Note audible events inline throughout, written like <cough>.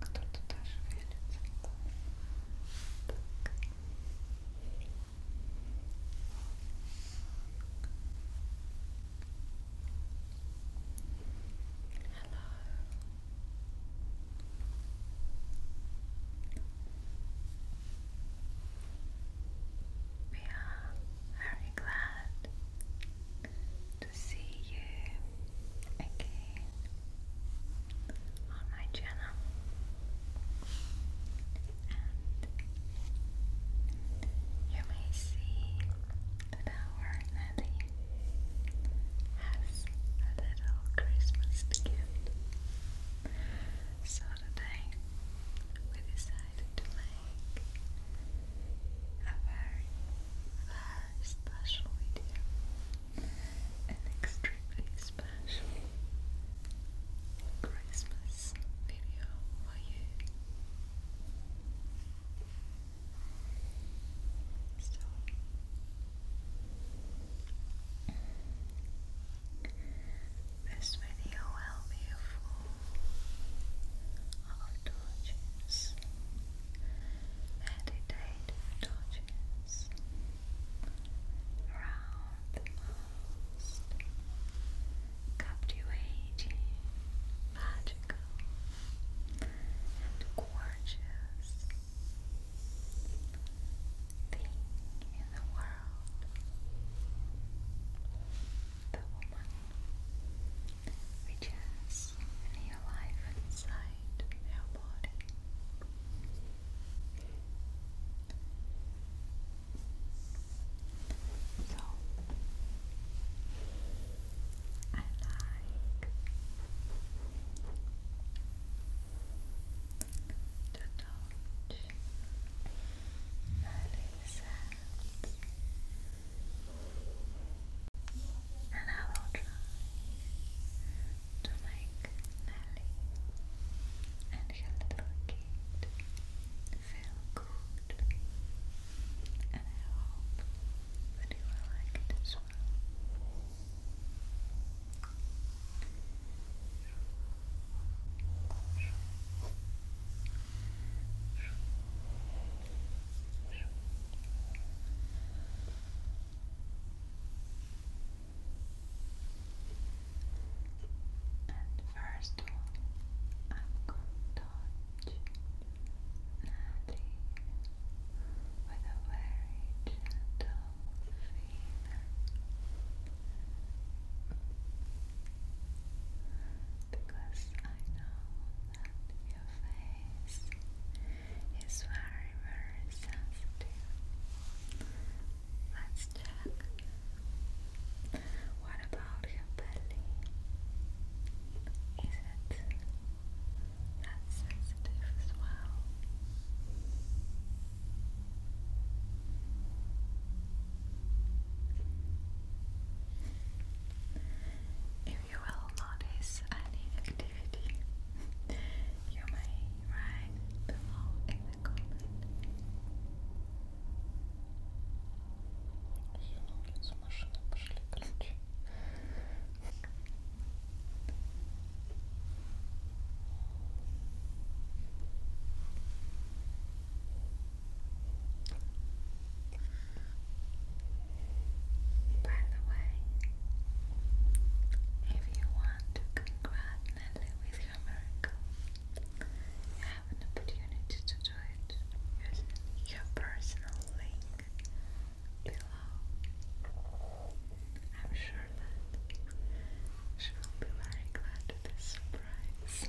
Кто-то даже шевелится. Так. Hello. We are very glad to see you again on my channel and you may see that our Nelly has a little Christmas gift so today we decided to make a very, very special video an extremely special Christmas video for you. this video will be full of touches, meditative touches stretches around the most captivating, magical, and gorgeous thing in the world. The woman, which is is really alive inside their body. So I like to touch Alice's hands and I will try to make Nelly and her little good. And I hope that you will like it as well. And first I'm touch Natalie with a very gentle feeler. Because I know that your face is very, very sensitive. Let's check. What about your belly? Is it that sensitive as well? If you will notice any activity, <laughs> you may write below in the comment. By the way, if you want to congrat with your miracle, you have an opportunity to do it using your personal link below. I'm sure that she will be very glad with this surprise.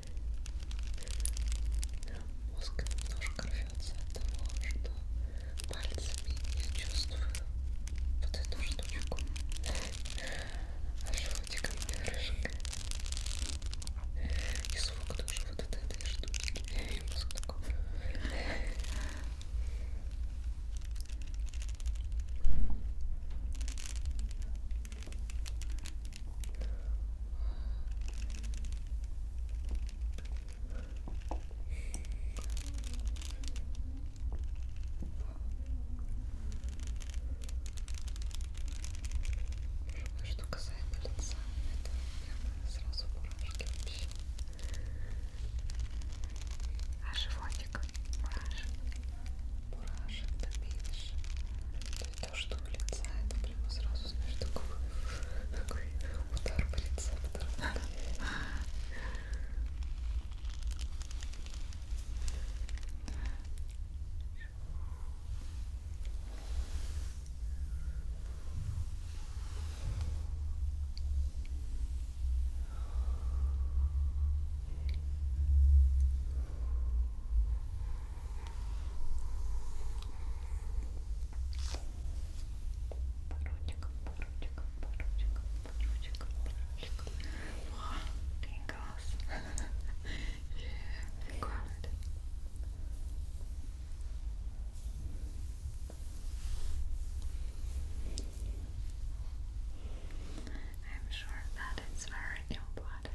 Мозг немножко рвется от того, что пальцами я чувствую вот эту штучку. А животиком крышка. И звук тоже вот от этой штучки. И мозг такой. Что касаемо лица, это прямо сразу мурашки вообще. А животик мурашек, мурашек, да меньше. То есть то, что у лица, это прямо сразу, знаешь, такой, такой удар по рецептору. Хорошо. Wow, tingles. I'm sure that it's very important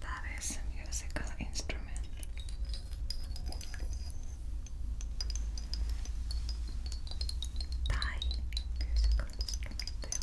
That is a musical instrument. Thai musical instrument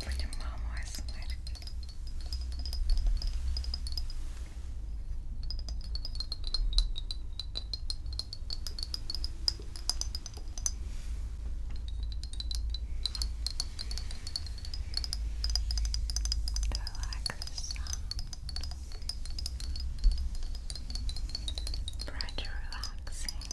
Будем мамой смотреть. Do I like the sound? Pretty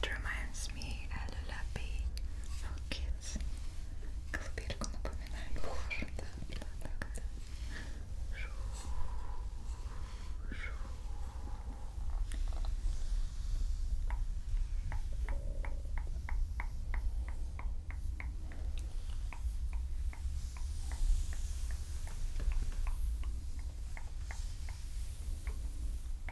It reminds me a lullaby for kids. Колыбельку напоминает. Да, да, такая. Шу, шу. Maybe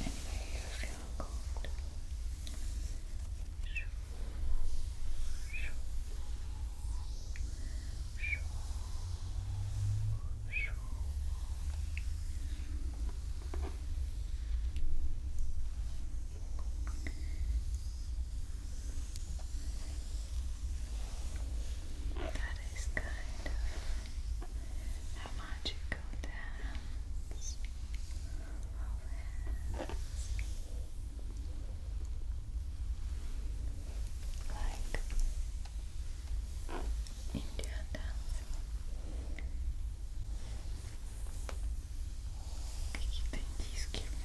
Anyway, you feel cold. Shoo, shoo, shoo, shoo. That is kind of a magical dance of Like Indian dancing, keeping these giving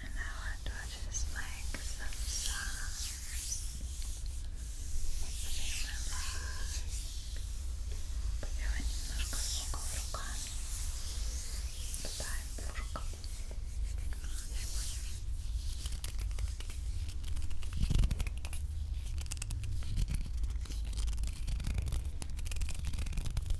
And I want to just make some sounds in my life. Пока немножко много руками. Дай бурку. Дай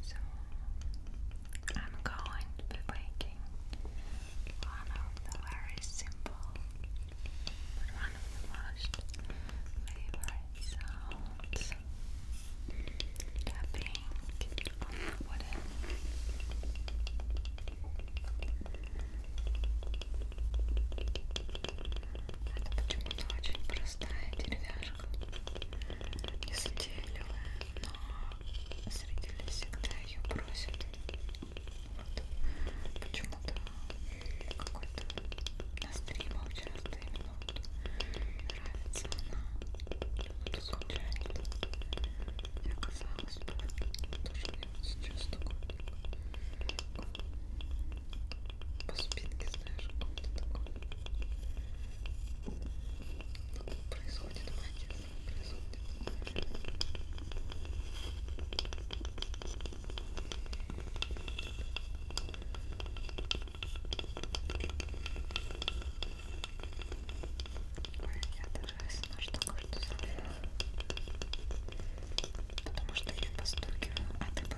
So I'm going to be making one of the very simple but one of the most favorite sounds tapping on the wooden не затейливая, но зрители всегда ее просят. Вот. Почему-то какой-то на стримах часто именно вот нравится она. Это случайно. И оказалось бы, тоже мне вот сейчас такой. Типа, по спинке, знаешь, он такой. Происходит магия, происходит. Ой, я даже осна, что кое-что забыла. Потому что я постукиваю, а ты постукиваешь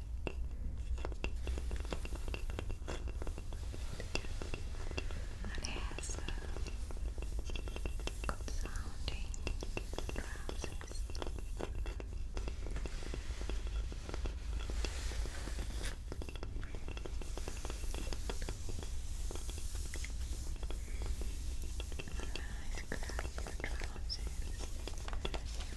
And it has a good sounding drum section. Nice, crappy trousers. You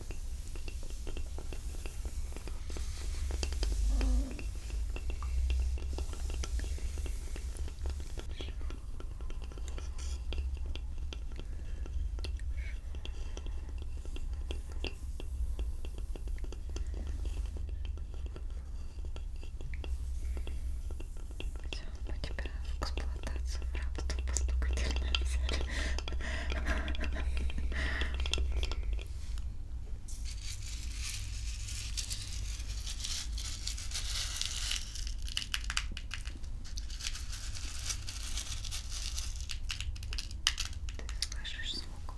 Все, мы тебя в эксплуатацию в рабство постукательно <laughs> взяли. Ты слышишь звук?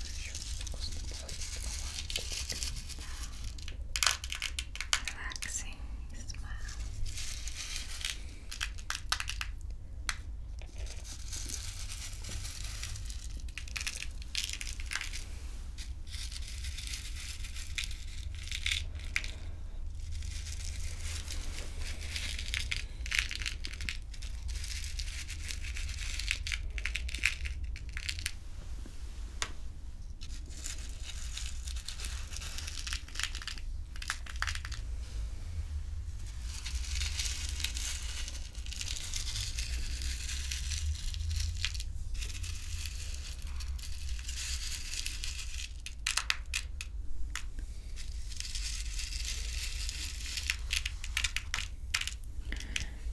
Еще вкусно бывает, бывает. relaxing smile. Now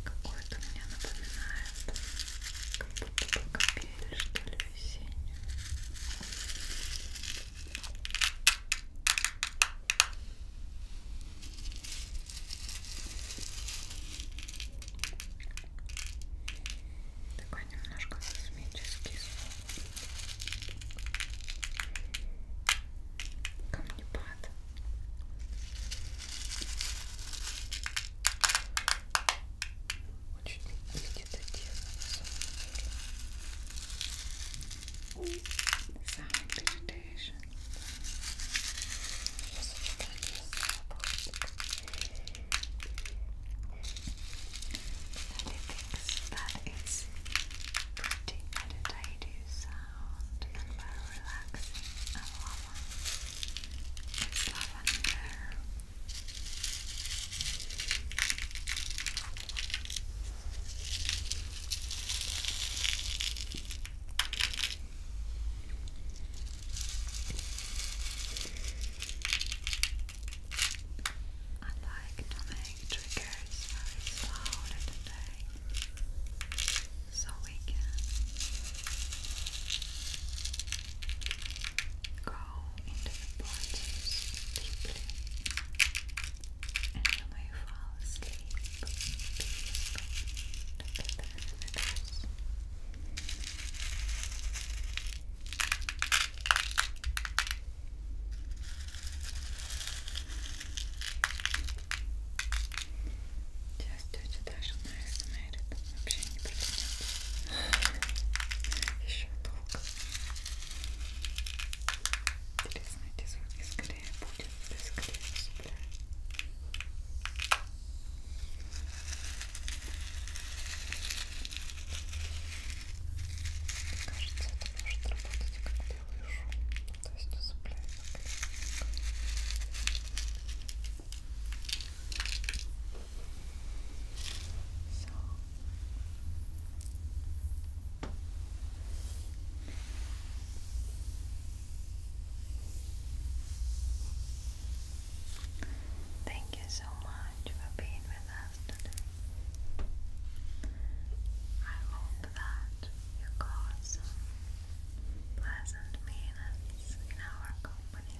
Какое-то меня напоминает как будто бы апрель, что ли, весеннюю. Такой немножко космический звук. Камнепад. Он чуть не видит это дело на самом деле. Самый передейшн. Я сочетаю And pretty meditative sound relaxing and lava. It's lavender. I like to make triggers very slowly today so we can go into the bodies deeply, and you may fall asleep peacefully together with us. Just touch the national Мейр, это вообще не протянет. Еще долго. Интересно, эти звуки скорее будет, да скорее усыпляет. Кажется, это может работать как белый шум, ну, то есть усыпляет. Thank you so much for being with us today. I hope that you got some pleasant meanness in our company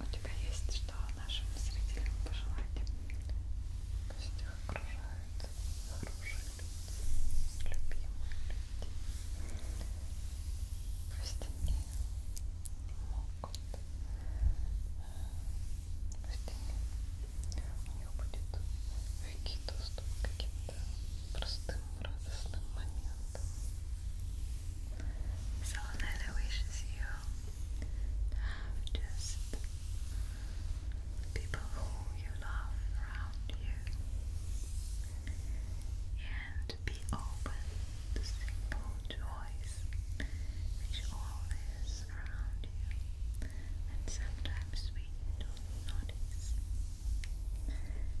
У тебя есть что нашим зрителям пожелать? Пусть их окружают хорошие люди, любимые люди. Пусть они могут. Э, пусть они, у них будет легкий доступ к каким-то простым радостным моментам. Salonella wishes you to have just people who you love around you and be open to simple joys which always surround you and sometimes we don't notice.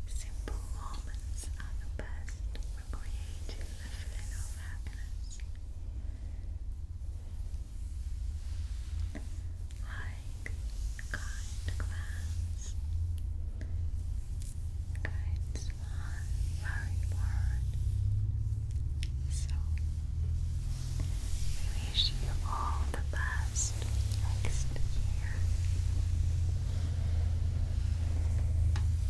Simple moments are the best for creative lifting of happiness. Like kind glance, kind smile, very word. So, we wish you all the best next year.